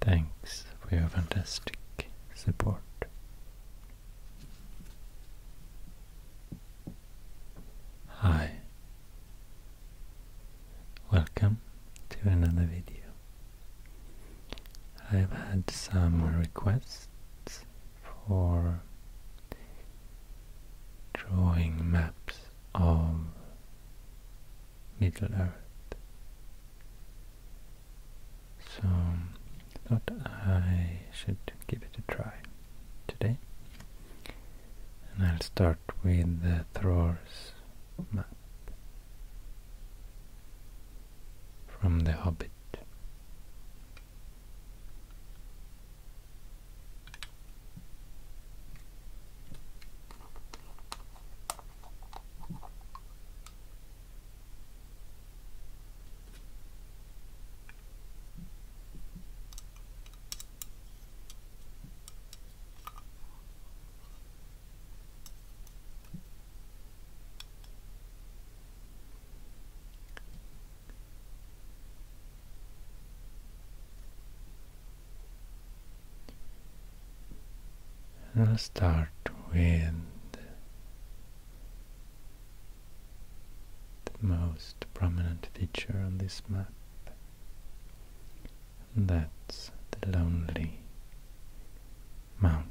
Thanks for your fantastic support. Hi, welcome to another video. I've had some requests for drawing maps of Middle Earth. So thought I should give it a try today. And I'll start with the Thror's map from The Hobbit. I'll start with the most prominent feature on this map. And that's the lonely mountain.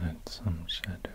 Add some shadow here.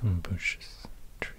Some bushes, trees.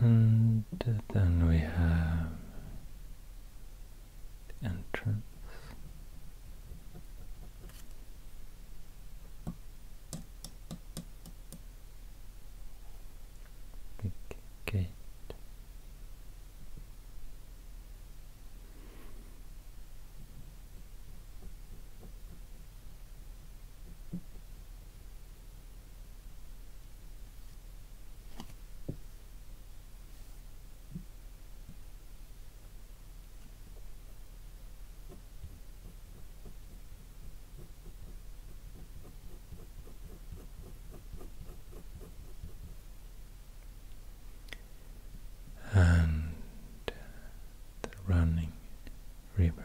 And then we have entrance. Big and the running river.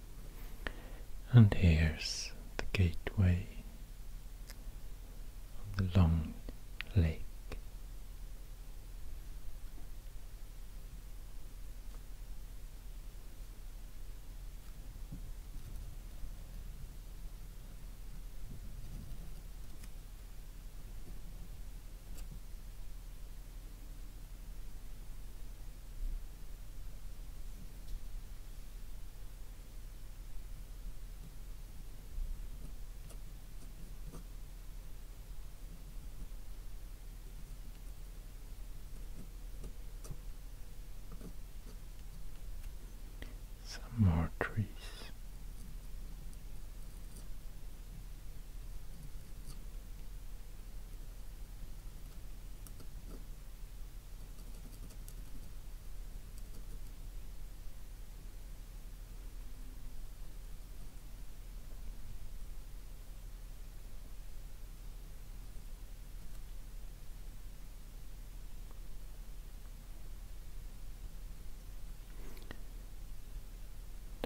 And here's the gateway of the long lake. Some more trees.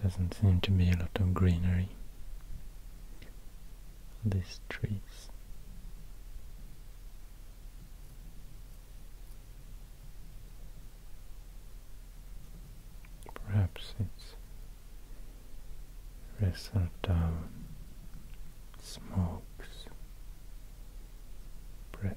Doesn't seem to be a lot of greenery these trees. Perhaps it's result of smokes, breath.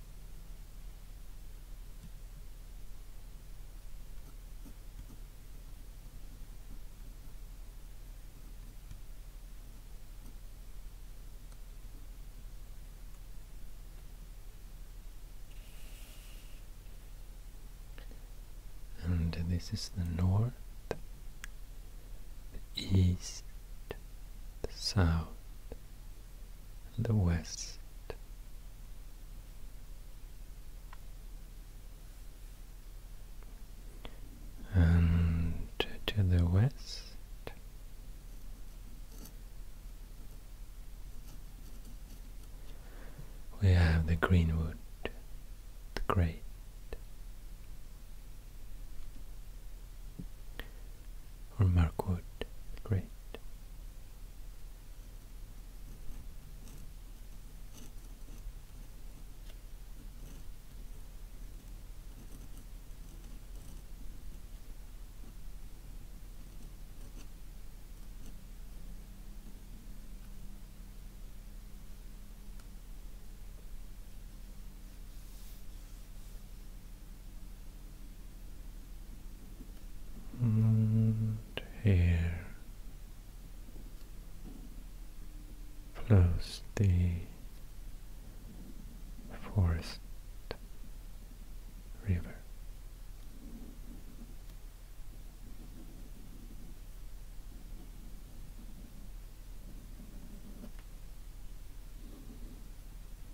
And this is the north, the east, the south, the west. And to the west, we have the greenwood, the great or Marquardt the Great and here flows the forest river.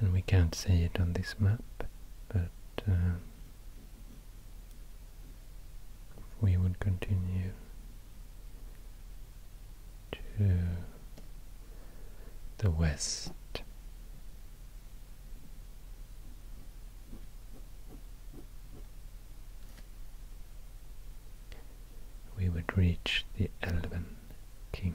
And we can't see it on this map, but uh, we would continue to the west we would reach the Elven King.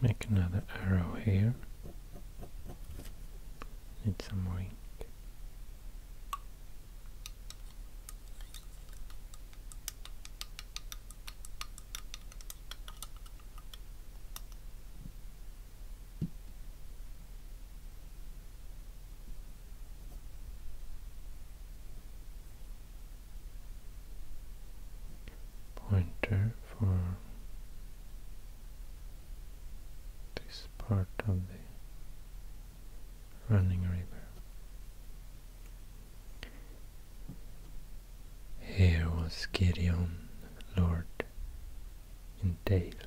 Make another arrow here. Need some more pointer for this part of the running river. Here was Gideon, Lord, entailed.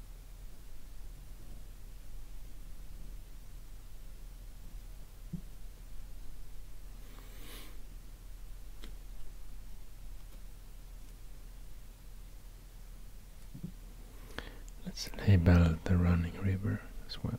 Let's label the running river as well.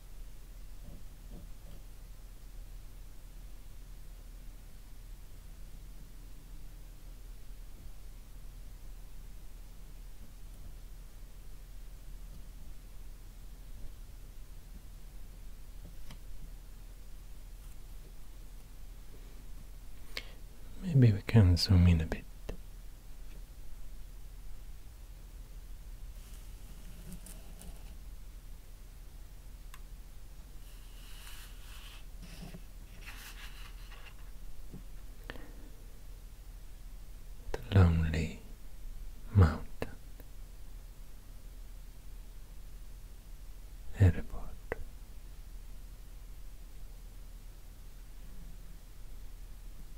Maybe we can zoom in a bit. The lonely mountain airport.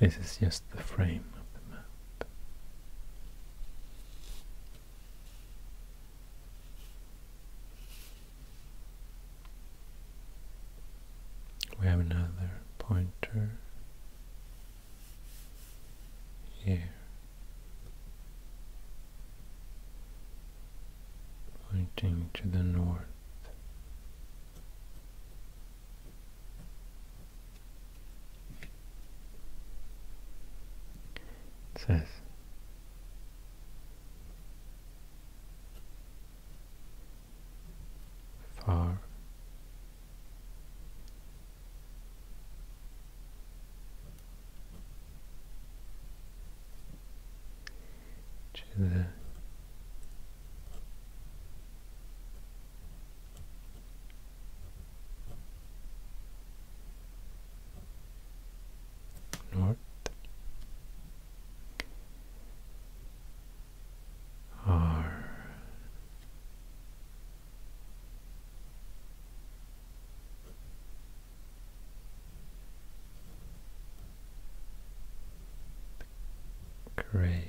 This is just the frame of the map. We have another pointer here pointing to the north. says, far to the north are gray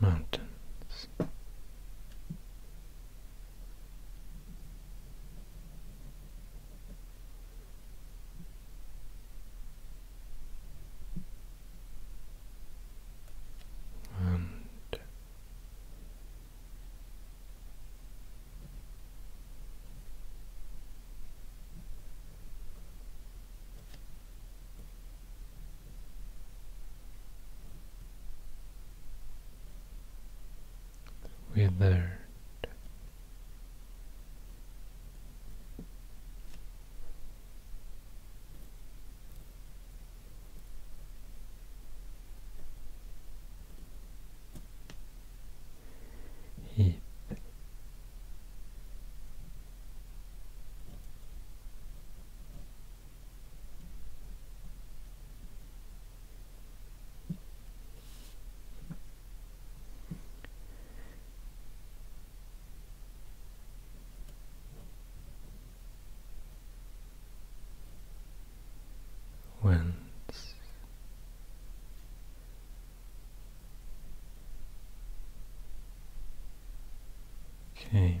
mountains. And withered heat Whence came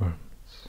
worms.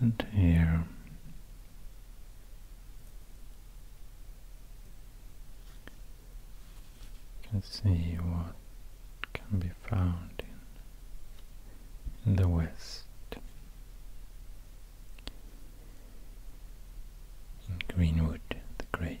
and here. let's see what can be found in, in the west. In Greenwood the Great.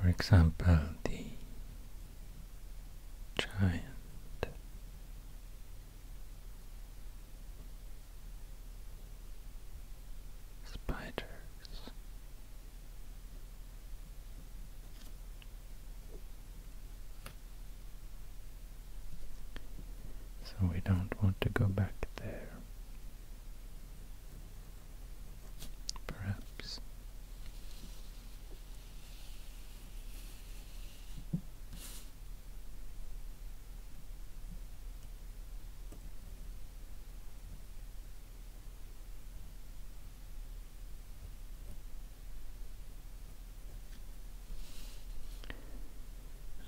For example, the giant spiders. So we don't want to go back there perhaps.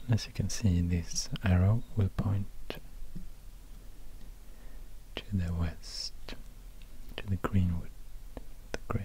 as you can see, this arrow will point to the west, to the Greenwood the Great.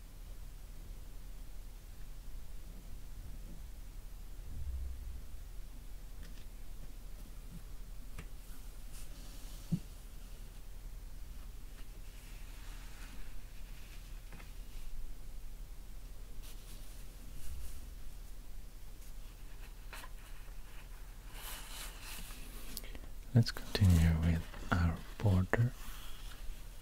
Let's continue with our border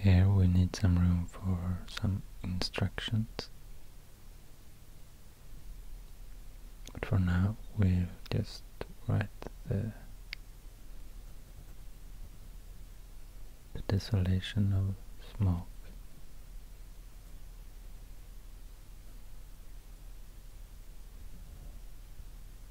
Here we need some room for some instructions. But for now we'll just write the, the desolation of smoke.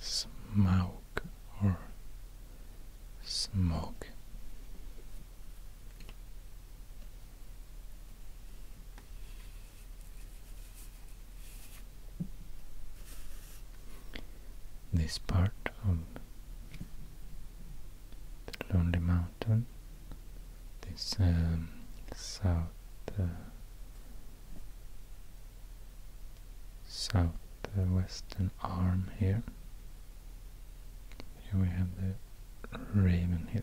smoke or smoke this part of the lonely mountain this um, south uh, southwestern arm here. Here we have the Raven Hill.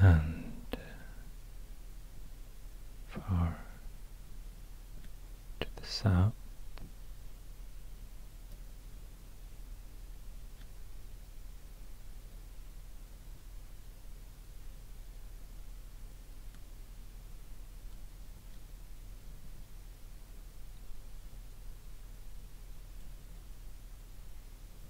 and uh, far to the south.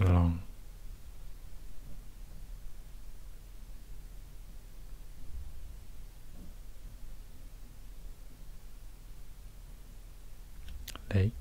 long. Um, lake.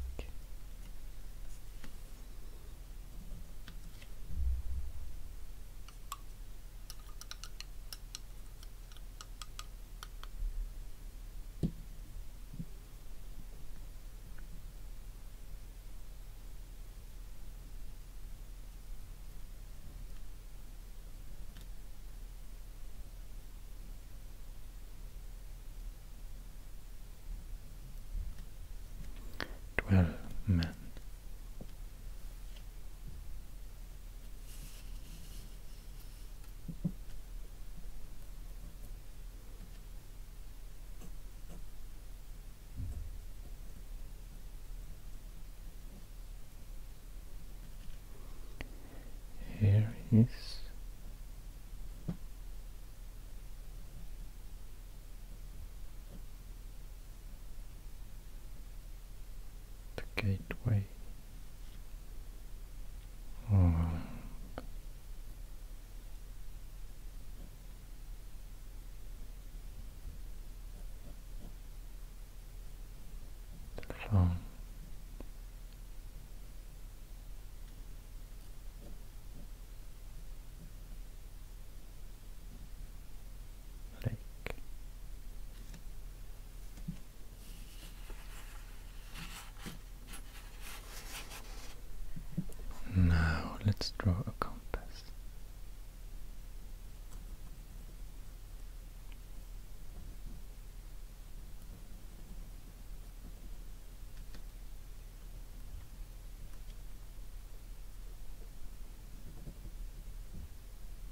Twelve men here is the gateway the phone. Now let's draw a compass.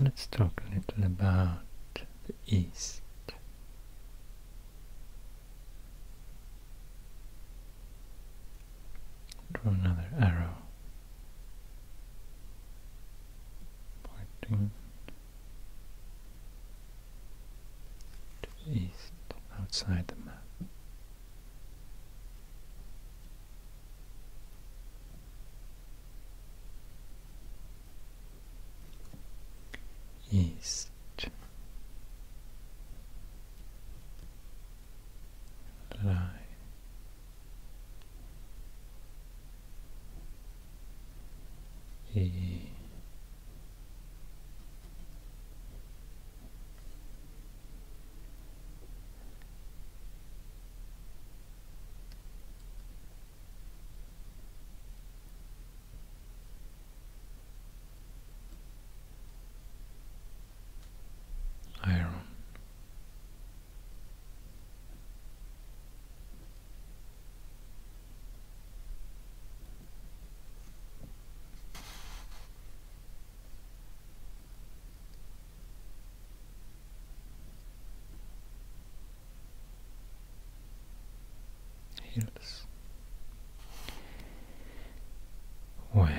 Let's talk a little about the East. Draw another arrow pointing to the east outside the map east lie e iron hills where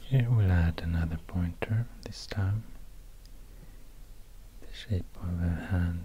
Here we'll add another pointer, this time the shape of a hand.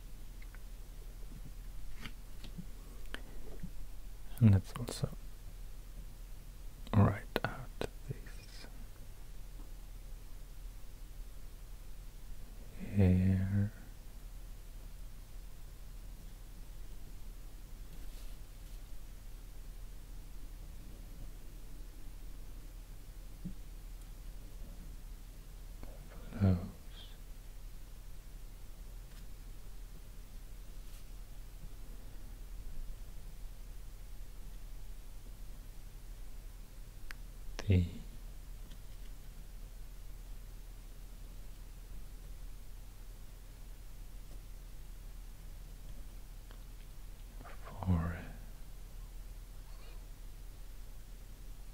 and let's also write out this here flows Three, forehead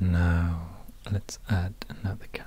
Now let's add another color.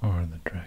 for the dragon.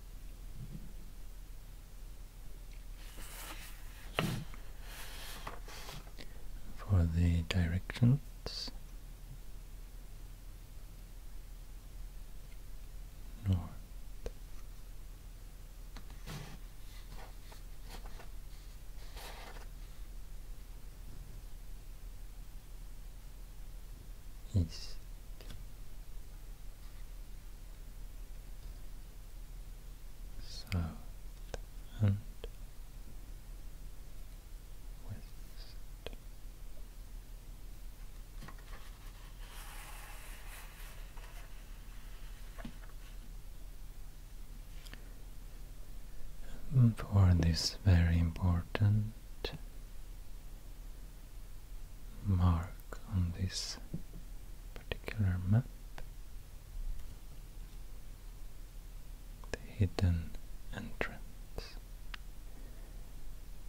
for the directions north east. South west. for this very important mark on this particular map the hidden entrance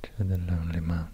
to the lonely mountain.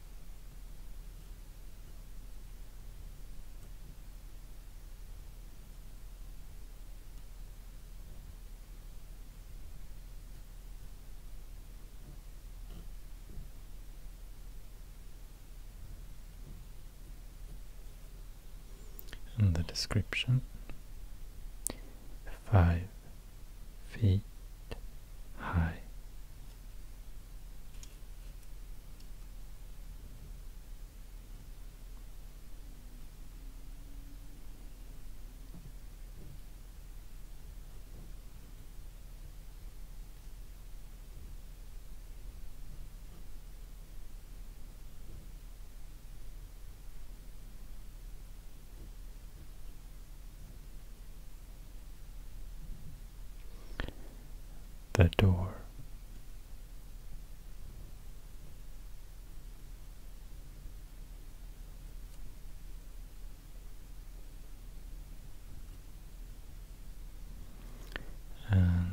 In the description. Five feet high the door. And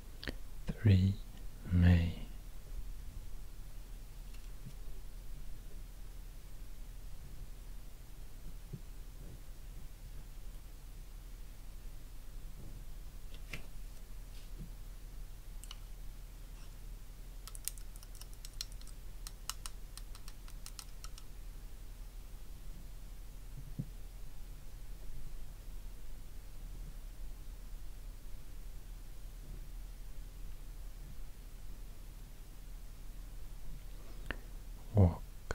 3 May walk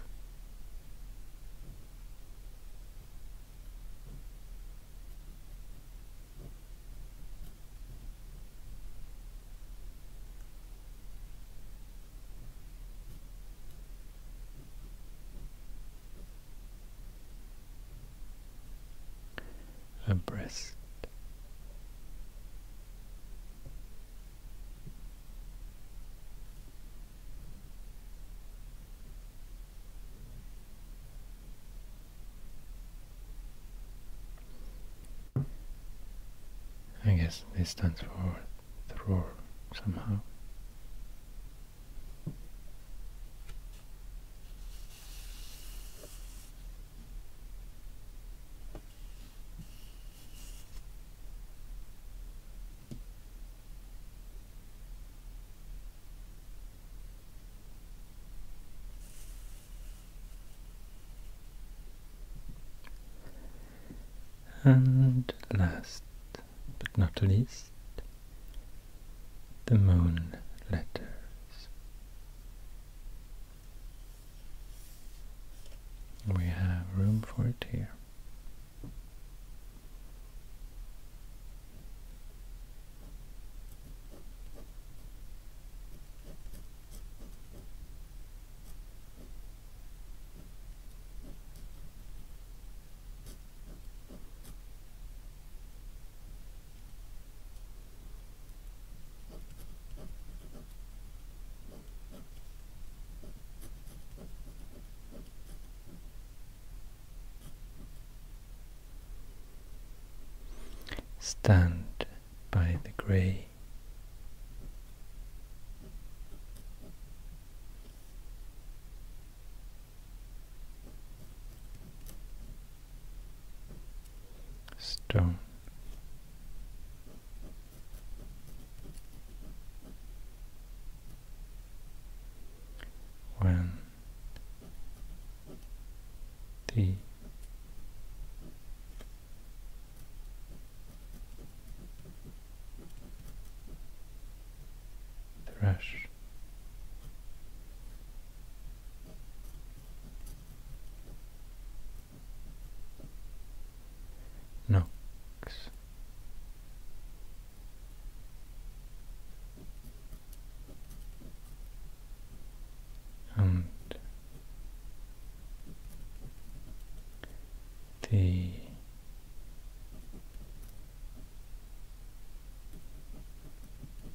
her breast. I guess this stands for thror somehow. And last but not least, the moon letters. We have room for it here. Stand by the grave stone. When the thrush Knocks. And the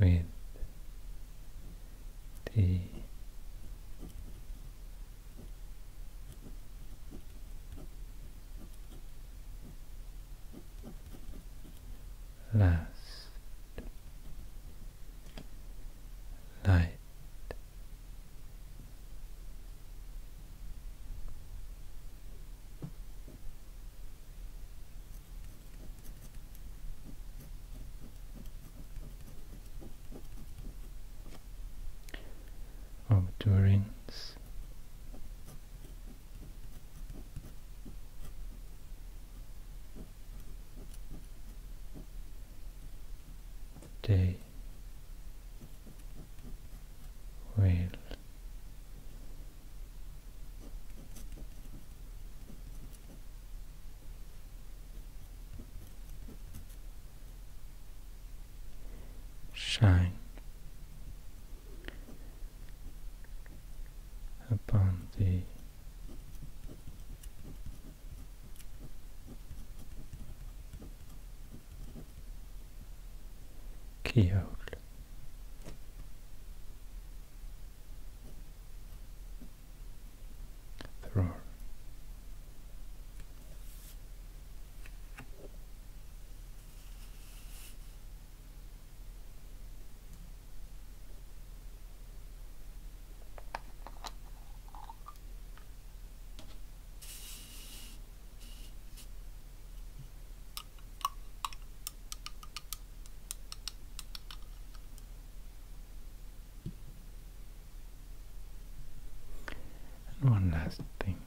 with the last light of Durins, day will shine upon the keyhole. There are one last thing.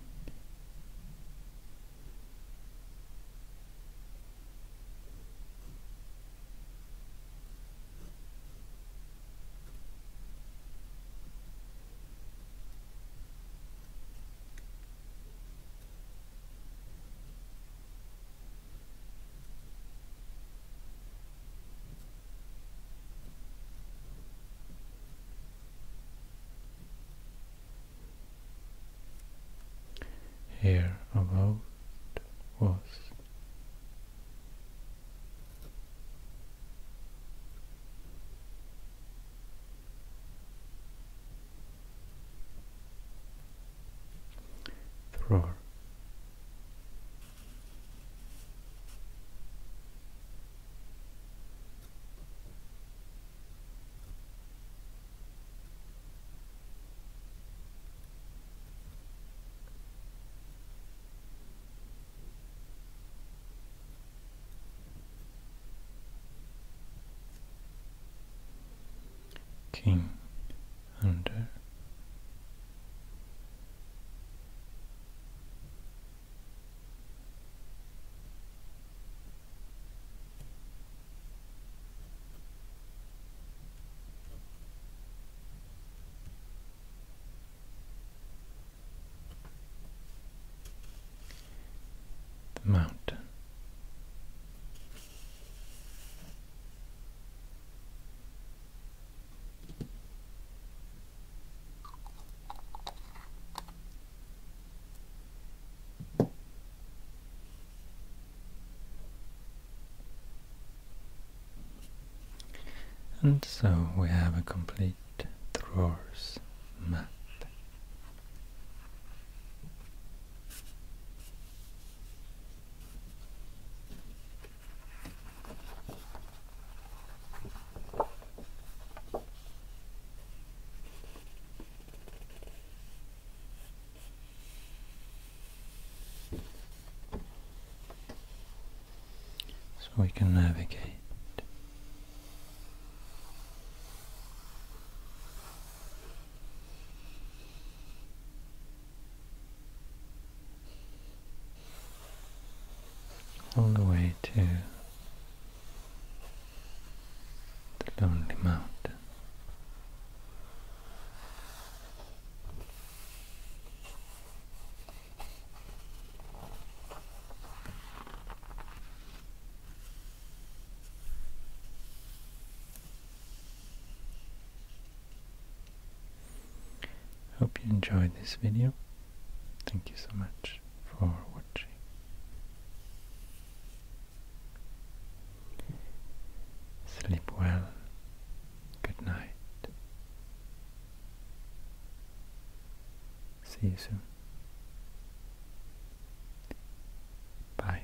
Here of old was Thrar king under the mountain and so we have a complete drawers map so we can navigate on the way to the lonely mountain. Hope you enjoyed this video. Thank you so much for watching. Sleep well. Good night. See you soon. Bye.